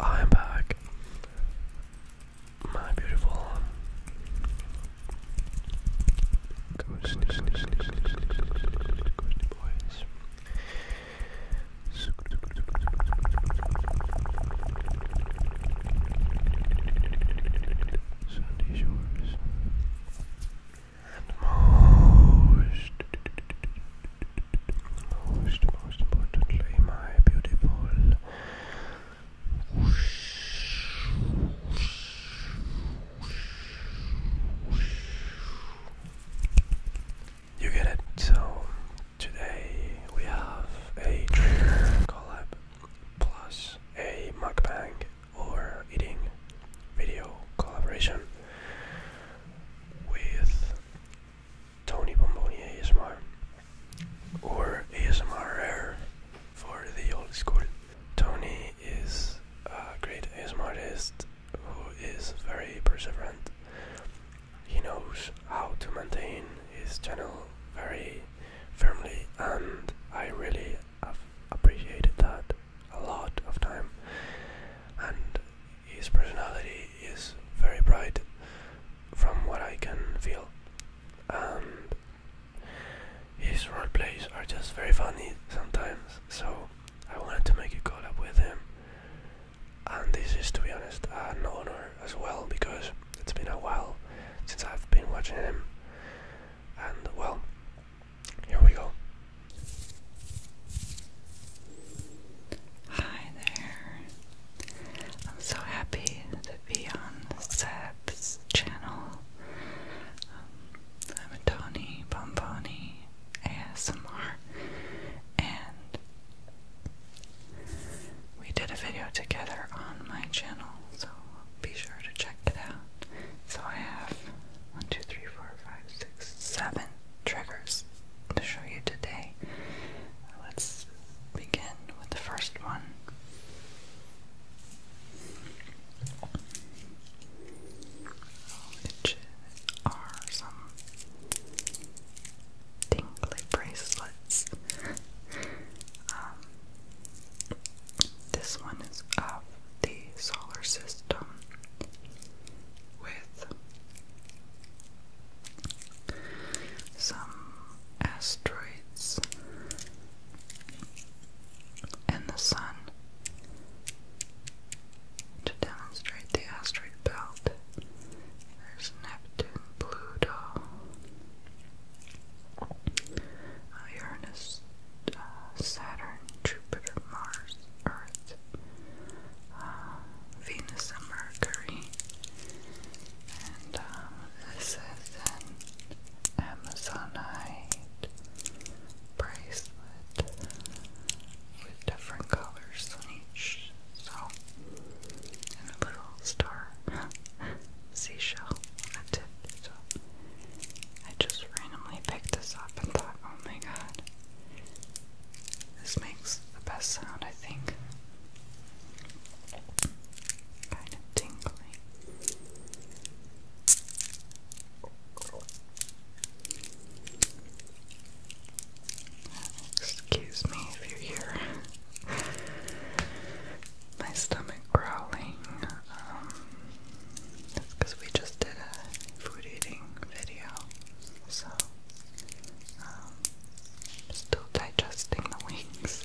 I'm back, my beautiful ghosty, ghosty, ghosty, ghosty boys. Sunday Shores. And most, most, most importantly, my beautiful you get it. So today we have a trigger collab plus a mukbang or eating video collaboration with Tony Bomboni ASMR or ASMR for the old school. Tony is a great ASMR who is very perseverant. He knows how to maintain his channel very firmly and I really appreciated that a lot of time and his personality is very bright from what I can feel and his role plays are just very funny sometimes so I wanted to make a call up with him and this is to be honest an honor as well because it's been a while since I've been watching him and well here we go. Hi there. I'm so happy to be on Sab's channel. Um, I'm Tony Bomboni ASMR, and we did a video together on my channel, so be sure to check so I have one, two, three, four, five, six, seven triggers to show you today. Let's begin with the first one. Which are some tingly bracelets. Um, this one is of the solar system with some asteroids and the sun to demonstrate the asteroid belt. There's Neptune, Pluto, uh, Uranus, uh, Saturn, Jupiter, Mars, Earth, uh, Venus, and Mercury. And um, this is an Amazonite bracelet with different colors on each. So, and a little star. seashell on I just randomly picked this up and thought, oh my god, this makes the best sound, I think. Kind of tingly. Excuse me if you hear my stomach growling because um, we just did a food eating video so um, still digesting the wings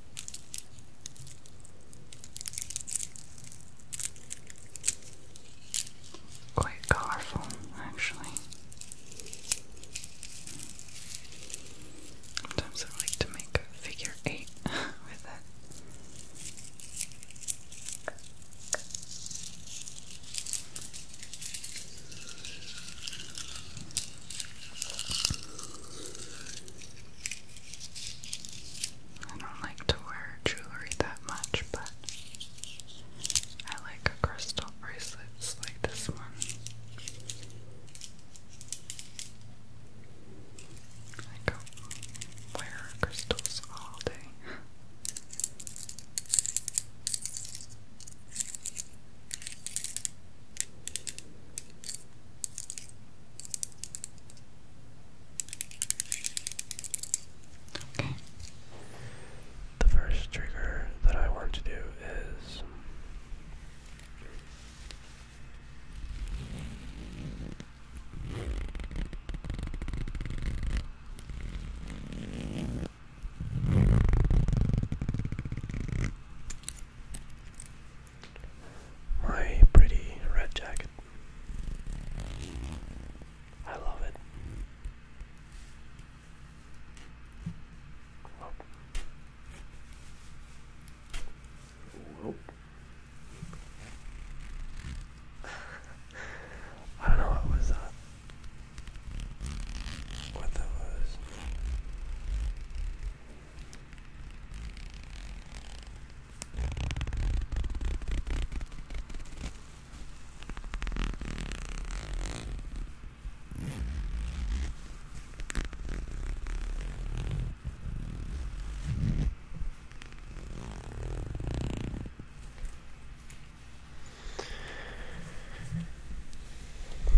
Quite colorful, actually. Sometimes I like to make a figure eight with it. I don't like to wear jewelry that much, but I like crystal bracelet like this one. I go wear crystals all day. Okay. The first trigger that I want to do is my pretty red jacket. I love it. Whoa. Whoa. I don't know what was that. What that was.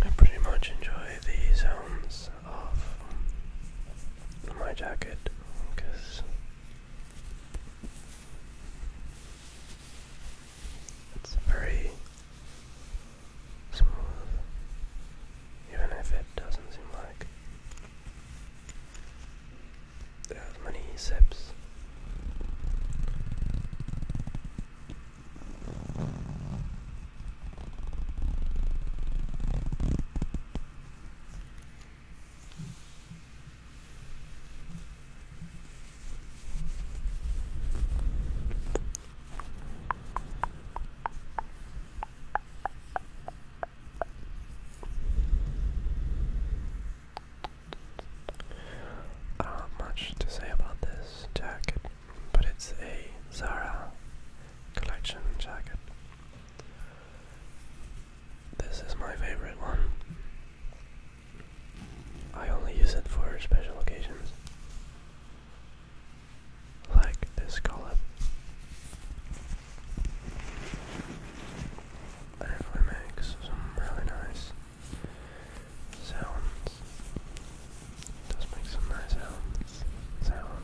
I pretty much enjoy these sounds off my jacket because it's very smooth, even if it doesn't seem like there's many sips. I do have much to say about this deck but it's a Zara collection jacket. This is my favorite one. I only use it for special occasions. Like this collab. And makes some really nice sounds. does make some nice sounds. Sounds.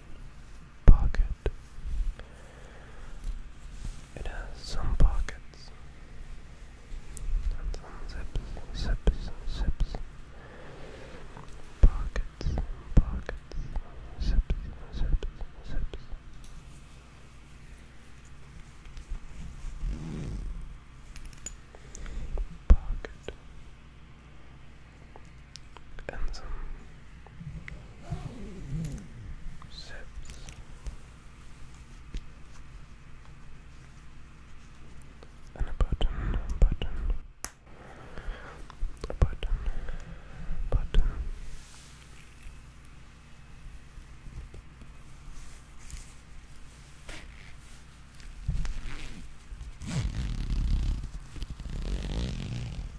pocket. It has some pockets and some zips, zips, zips. Pockets, pockets, zips, zips, zips. Pocket, and some sips. And a button, button, a button, button.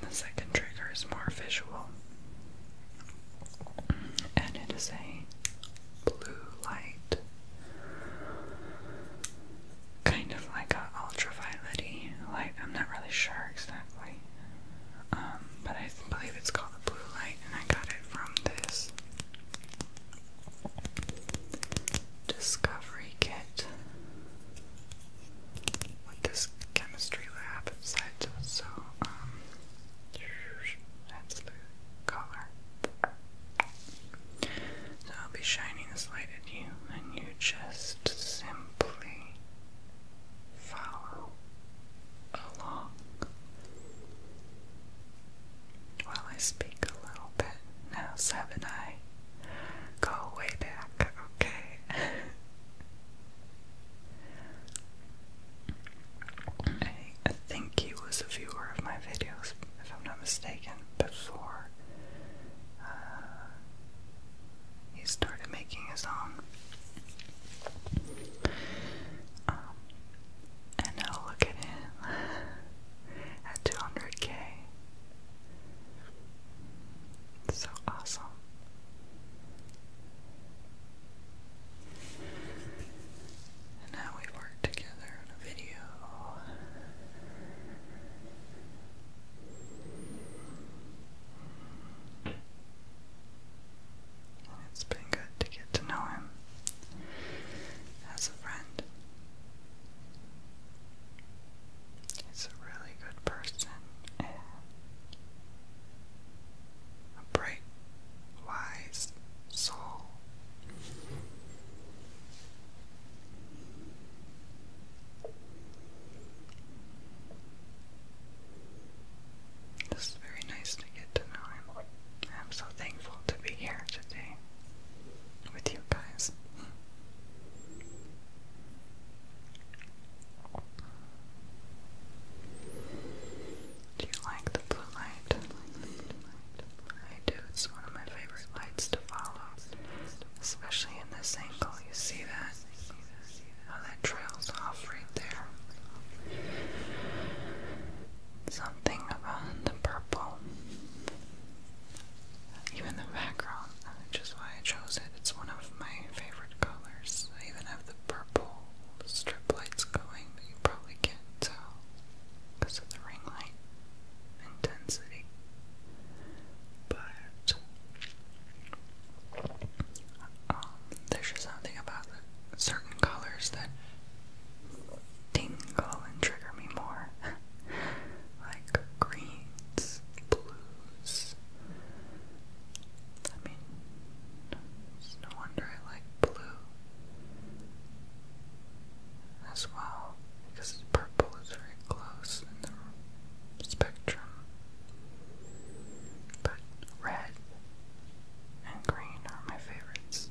The second trigger is more visual, and it is a blue light, kind of like an ultraviolet light. I'm not really sure exactly, um, but I believe it's called the blue light, and I got it from this discovery kit with this chemistry lab inside. So, um, color. So I'll be shining this light at you, and you just simply follow along. Well, I speak a little bit. Now, seven I go way back, okay? I think he was a viewer of my videos, if I'm not mistaken, before uh, he started making his own. Um, and now look at him at 200k. so awesome. And now we work together on a video. And it's been good to get to know him as a friend. He's a really good person a bright, wise soul. It's very nice to get to know him. I'm so thankful to be here today with you guys. Do you like the blue light? I do, it's one of my favorite lights to follow. Especially in this angle, you see that? How that trails off right there something about the purple. Even the background, which is why I chose it. It's one of my favorite colors. I even have the purple strip lights going, but you probably can't tell because of the ring light intensity. But um, there's just something about the certain colors that tingle and trigger me more. like greens, blues. I mean, it's no wonder I like blue as well, because purple is very close in the spectrum. But red and green are my favorite favorites.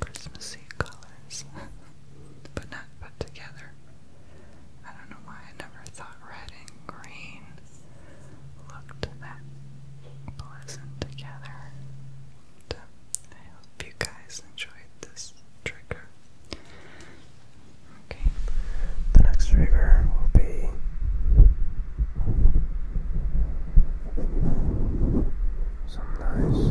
Christmassy colors, but not put together. I don't know why I never thought red and green looked that pleasant together. I hope you guys enjoyed this trigger. Okay, the next trigger will be. Some nice,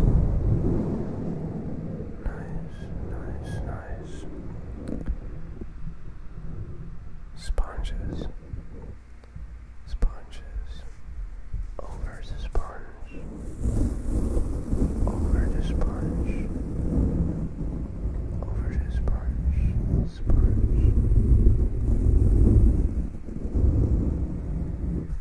nice, nice, nice sponges, sponges over the sponge, over the sponge, over the sponge, sponge.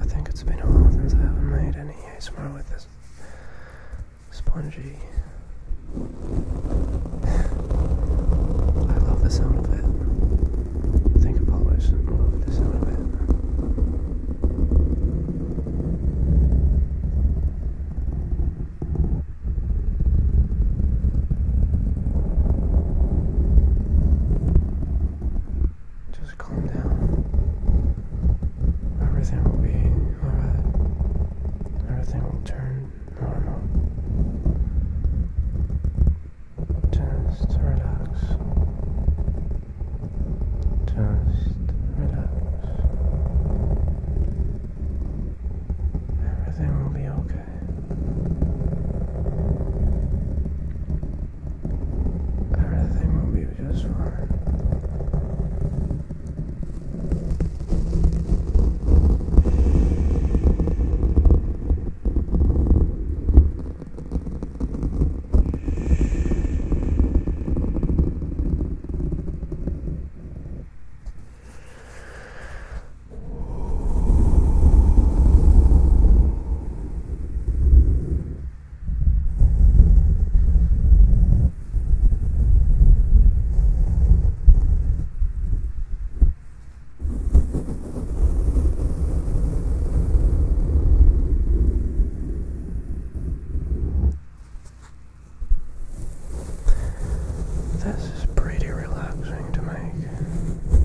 I think it's been a while since I haven't made any ASMR with this spongy. I love the sound of it. think I probably should love the sound of it. Just calm down. Everything will be alright. Everything will turn normal. Just relax. Just relax. Everything will be okay. Everything will be just fine. This is pretty relaxing to make.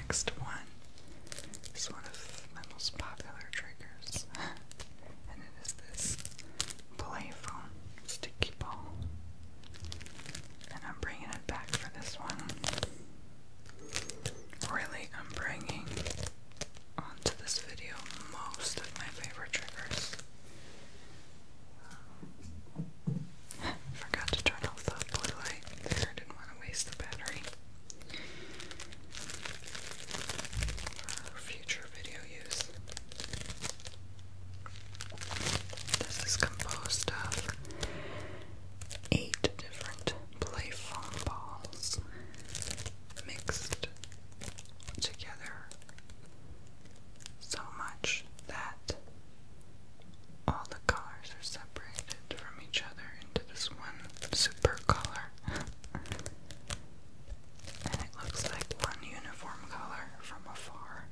next one is one of my most popular triggers, and it is this playful sticky ball. And I'm bringing it back for this one. Really, I'm bringing onto this video most of my favorite triggers. Forgot to turn off the blue light. didn't want to waste the battery. For future video use. This is composed of eight different play foam balls mixed together so much that all the colors are separated from each other into this one super color. and it looks like one uniform color from afar.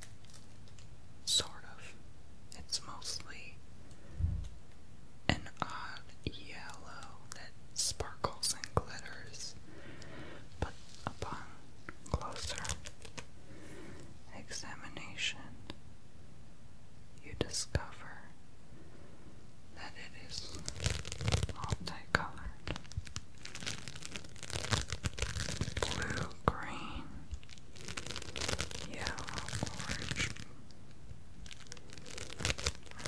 Sort of. It's mostly an odd yellow that sparkles and glitters, but upon closer examination, you discover that it is multicolored blue, green, yellow, orange,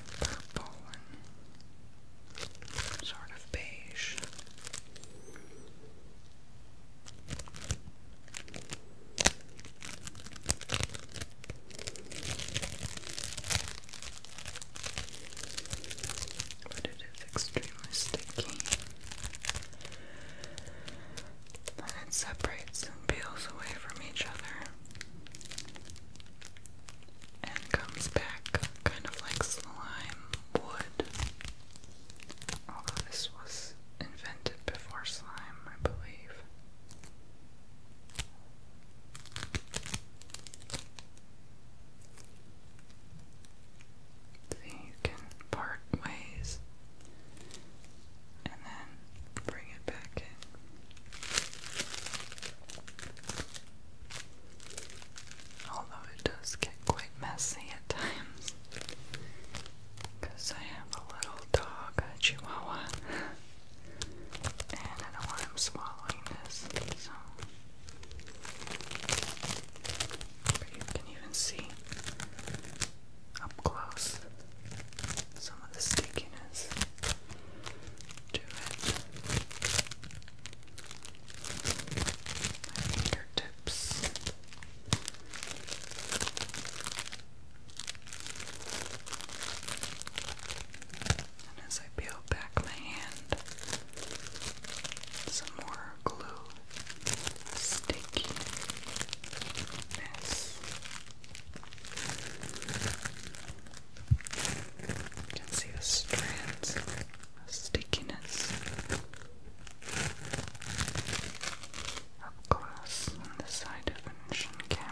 purple, and sort of beige. But it is extremely sticky. And it separates and peels away from each other. And comes back kind of like slime wood. Although this was invented before slime, I believe. you can part ways and then bring it back in. Although it does get quite messy because I have a little dog, a chihuahua, and I don't want him swallowing this, so. But you can even see up close some of the stickiness to it. My fingertips as I peel back my hand, some more glue, stickiness. can see the strands of stickiness up close on this high definition camera.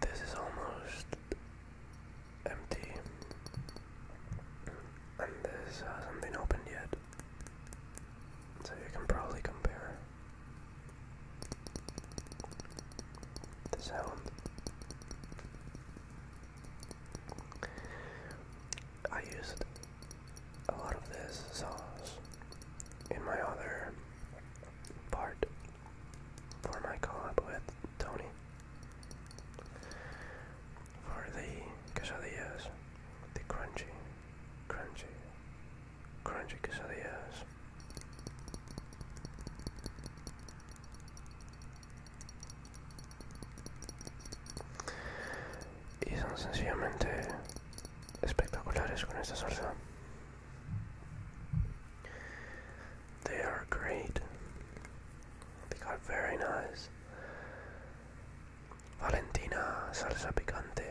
This is almost empty, and this hasn't been opened yet, so you can probably compare the sound. I used a lot of this sauce in my other part for my collab with Tony for the quesadillas, the crunchy, crunchy, crunchy quesadillas. y son sencillamente espectaculares con esta salsa. They are great. They are very nice. Valentina salsa picante.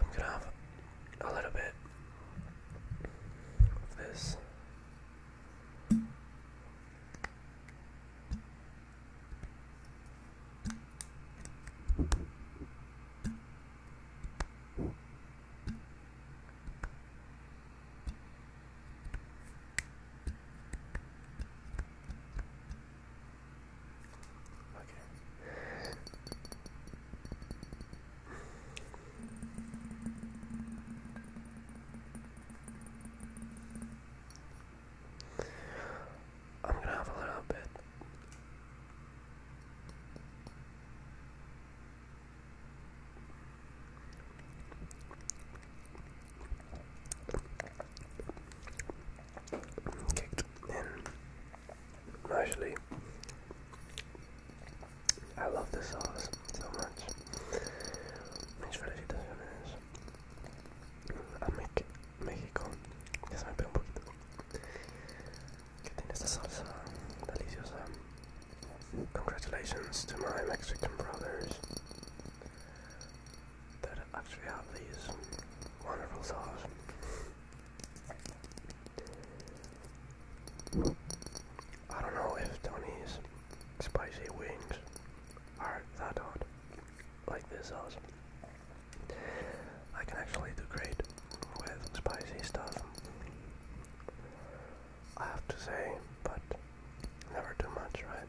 I'm gonna have a little bit of this. Okay. I'm gonna have a little bit. Kicked in Actually, I love this sauce so much. Mis felicitaciones a Mex México. Ya se me pega un poquito. Que tiene esta salsa Congratulations to my Mexican brothers that actually have these wonderful sauce. I don't know if Tony's spicy wings are that hot, like this I can actually do great with spicy stuff. I have to say, but never too much, right?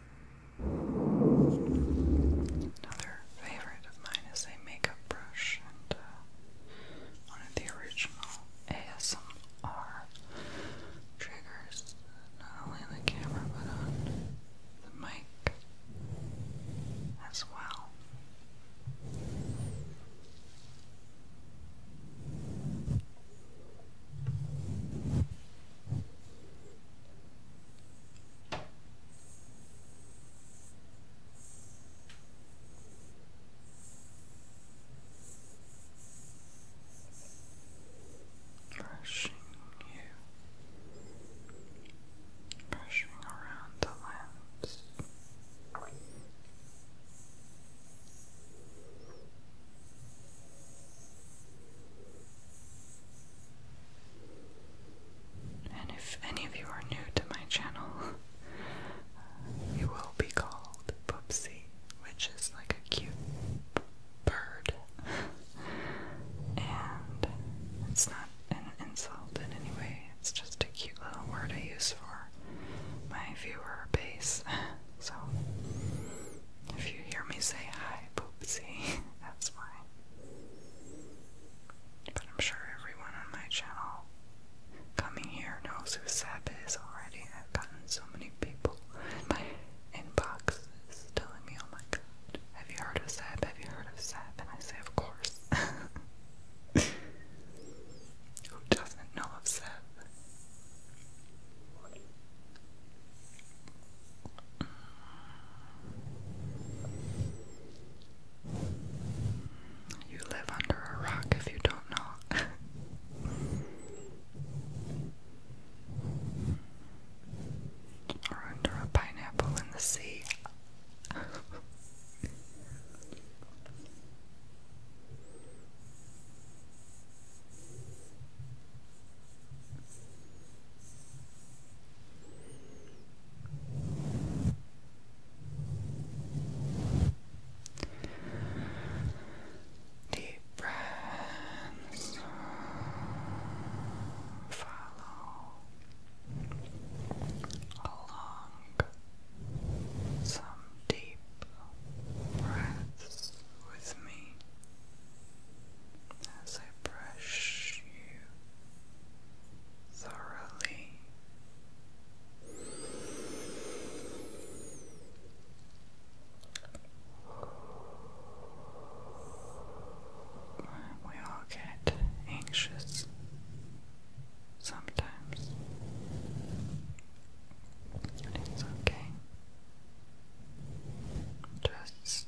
Another favorite of mine is a makeup brush, and uh, one of the original ASMR triggers, not only on the camera but on the mic as well. Brushing you, brushing around the limbs. And if any of you are new to my channel, you will be called Poopsie, which is like a cute bird. and it's not an insult in any way, it's just a cute little word I use for my viewer base. so if you hear me say hi, Poopsie, that's fine. But I'm sure everyone on my channel coming here knows who Sap is already. I've gotten so many people in my inboxes telling me, oh my god, have you heard of Sap? Have you heard of Sap? And I say, of course. who doesn't know of Sap? You live under a rock if you don't know. or under a pineapple in the sea. Deep breaths. Follow along some deep breaths with me as I brush you thoroughly. We all get anxious sometimes, it's okay. Just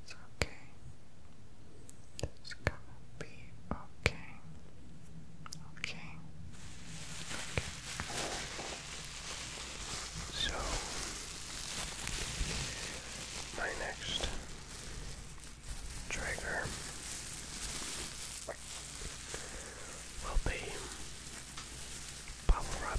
It's okay. It's gonna be okay. Okay. So, my next trigger will be bubble wrap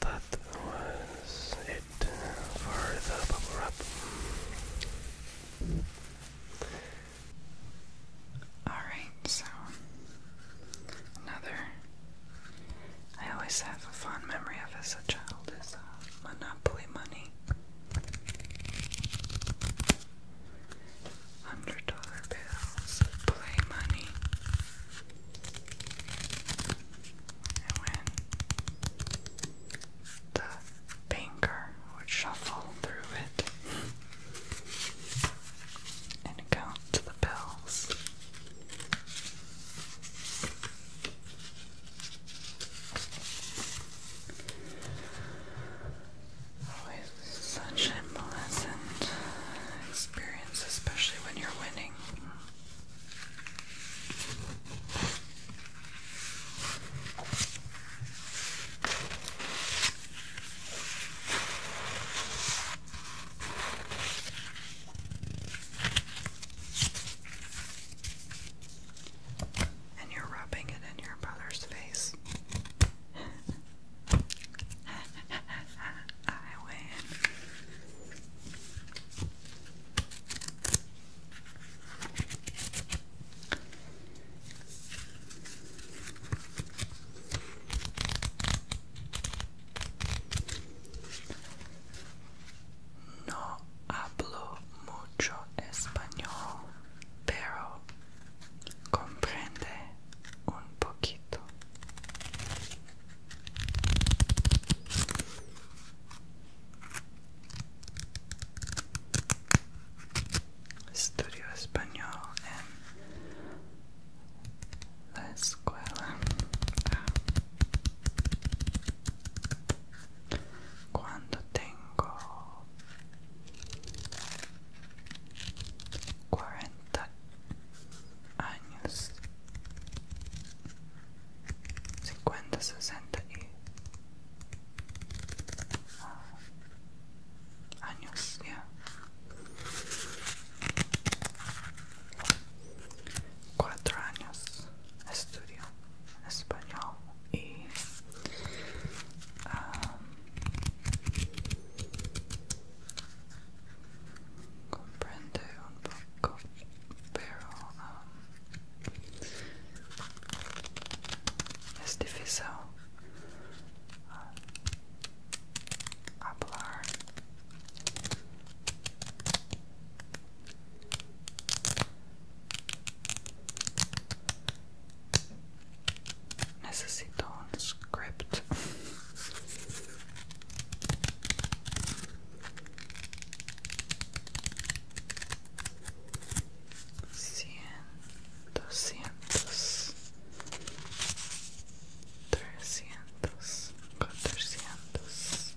That was it for the bubble wrap. Alright, so another I always have a fond memory of as a child is uh, Monopoly Money. Hundred dollar bills, play money. And when the banker would shuffle through it and count to the pills. such a pleasant experience, especially when you're winning. And you're rubbing it in your brother's face. I win. No hablo mucho español, pero comprende un poquito estudio español en la escuela cuando tengo cuarenta años cincuenta sesenta y ah, años Cuatro años estudio español y um, comprende un poco, pero um, es difícil. Hablar Necesito un script 100, 200 trescientos, cuatrocientos,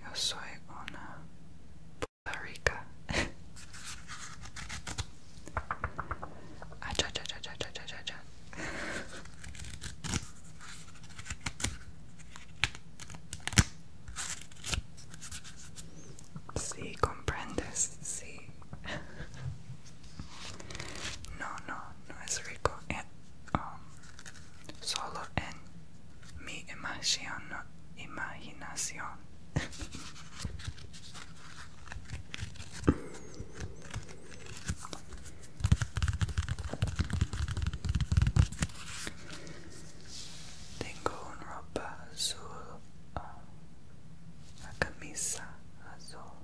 yo soy una rica. Sí, comprendes, sí. No, no, no es rico um, solo en mi imaginación. imaginación. Tengo una ropa azul, ah, una camisa azul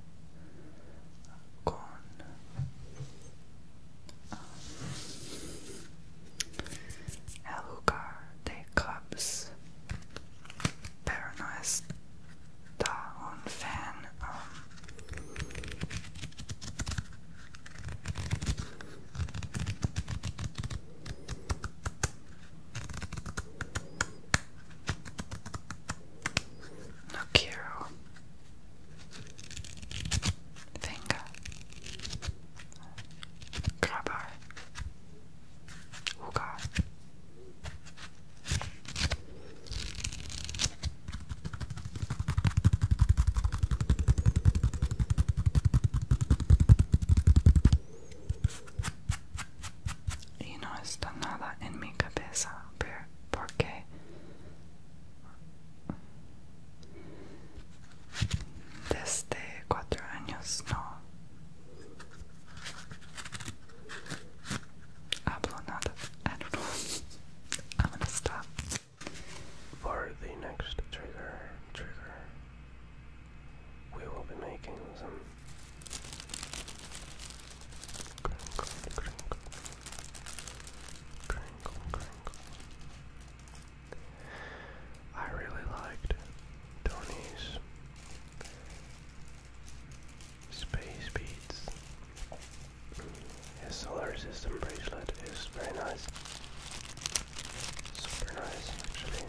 con el ah, lugar de clubs, pero no está un fan. Um, Nokiro Venga Grabar Ugar Y no está nada en mi cabeza, porque desde cuatro años no hablo nada. I don't know. I'm gonna stop. For the next trigger, trigger, we will be making some crinkle, crinkle, crinkle, crinkle. I really liked Tony's space beats. His solar system bracelet is very nice. Super nice, actually.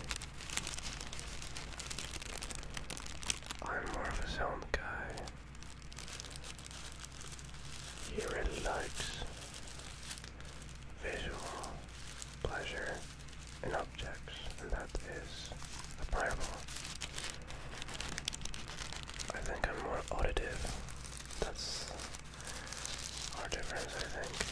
I'm more of a sound guy. He really visual pleasure in objects, and that is admirable. I think I'm more auditive. That's or difference, I think.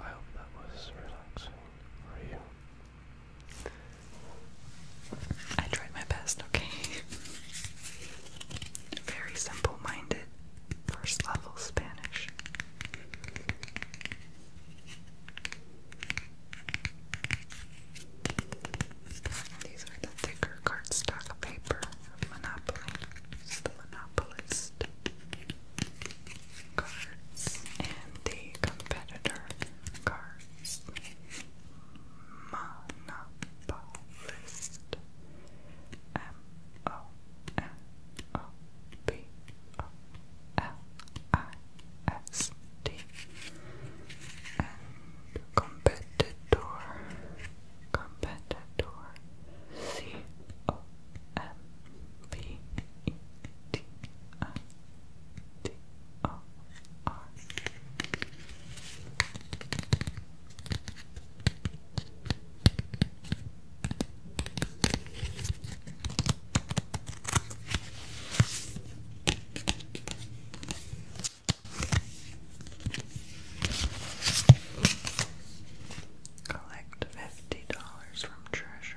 I hope that was relaxing for you. I tried my best, okay? Very simple minded, first level Spanish. These are the thicker cardstock paper Monopoly. the Monopolist cards and the competitor cards. Monopolist. M O N O P O L I S T. And competitor, competitor, C O M P E T I T O R. Collect fifty dollars from treasure.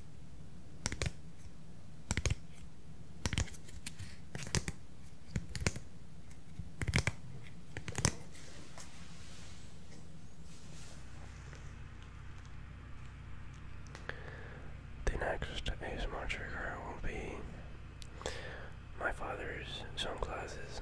The next ASMR trigger will be my father's sunglasses.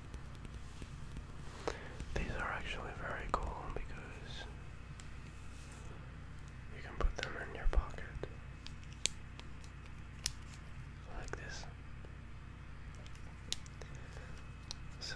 These are actually very cool because you can put them in your pocket like this. So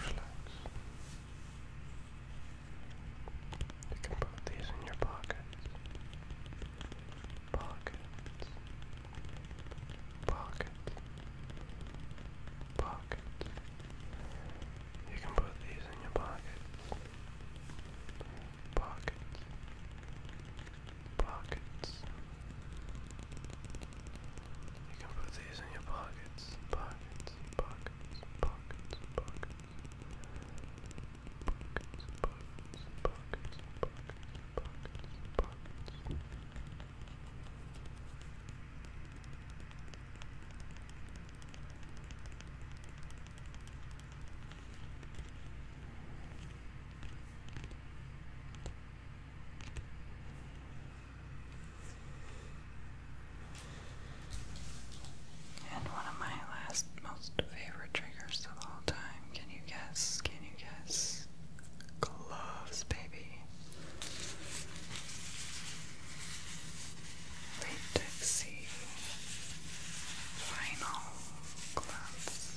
Relax. You can put these in your pockets. Pockets. Pockets. Pockets. You can put these in your pockets. Pockets. Pockets. You can put these in your pockets, pockets, pockets, pockets, pockets. Pockets, pockets, pockets, pockets, pockets, pockets. And one of my last most favorite triggers of all time. Can you guess? Can you guess? Gloves, baby. Latexy vinyl gloves.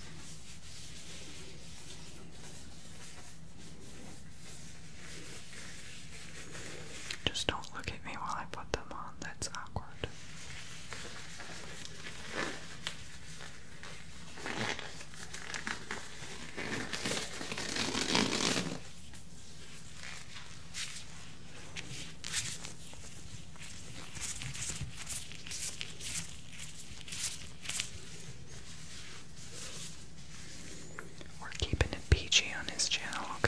Just don't look at me while I put them on, that's awkward. We're keeping it PG on this channel, okay?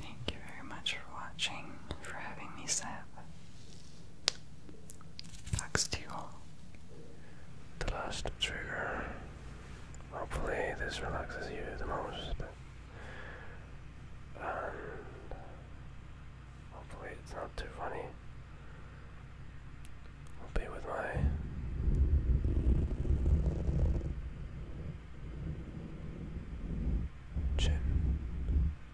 Thank you very much for watching, for having me, Seb. Thanks to you The last trigger. Hopefully, this relaxes you the most. And hopefully, it's not too funny. I'll be with my. Chin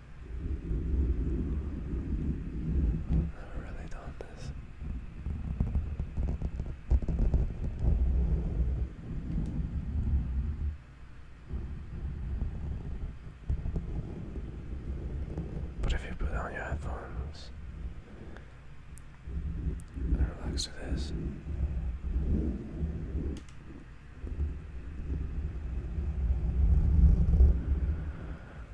i Never really done this. But if you put on your headphones relax to this,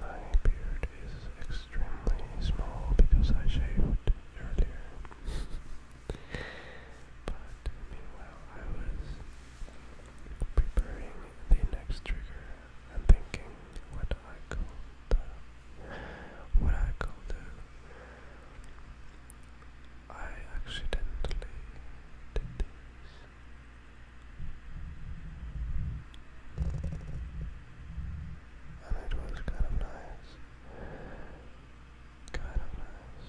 My beard is extremely small because I shaved earlier but meanwhile, I was preparing the next trigger and thinking what I could, uh, what I could do. I accidentally did this. And it was kind of nice. God of Mass.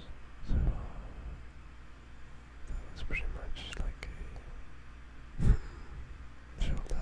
So uh, that was pretty much like a show time.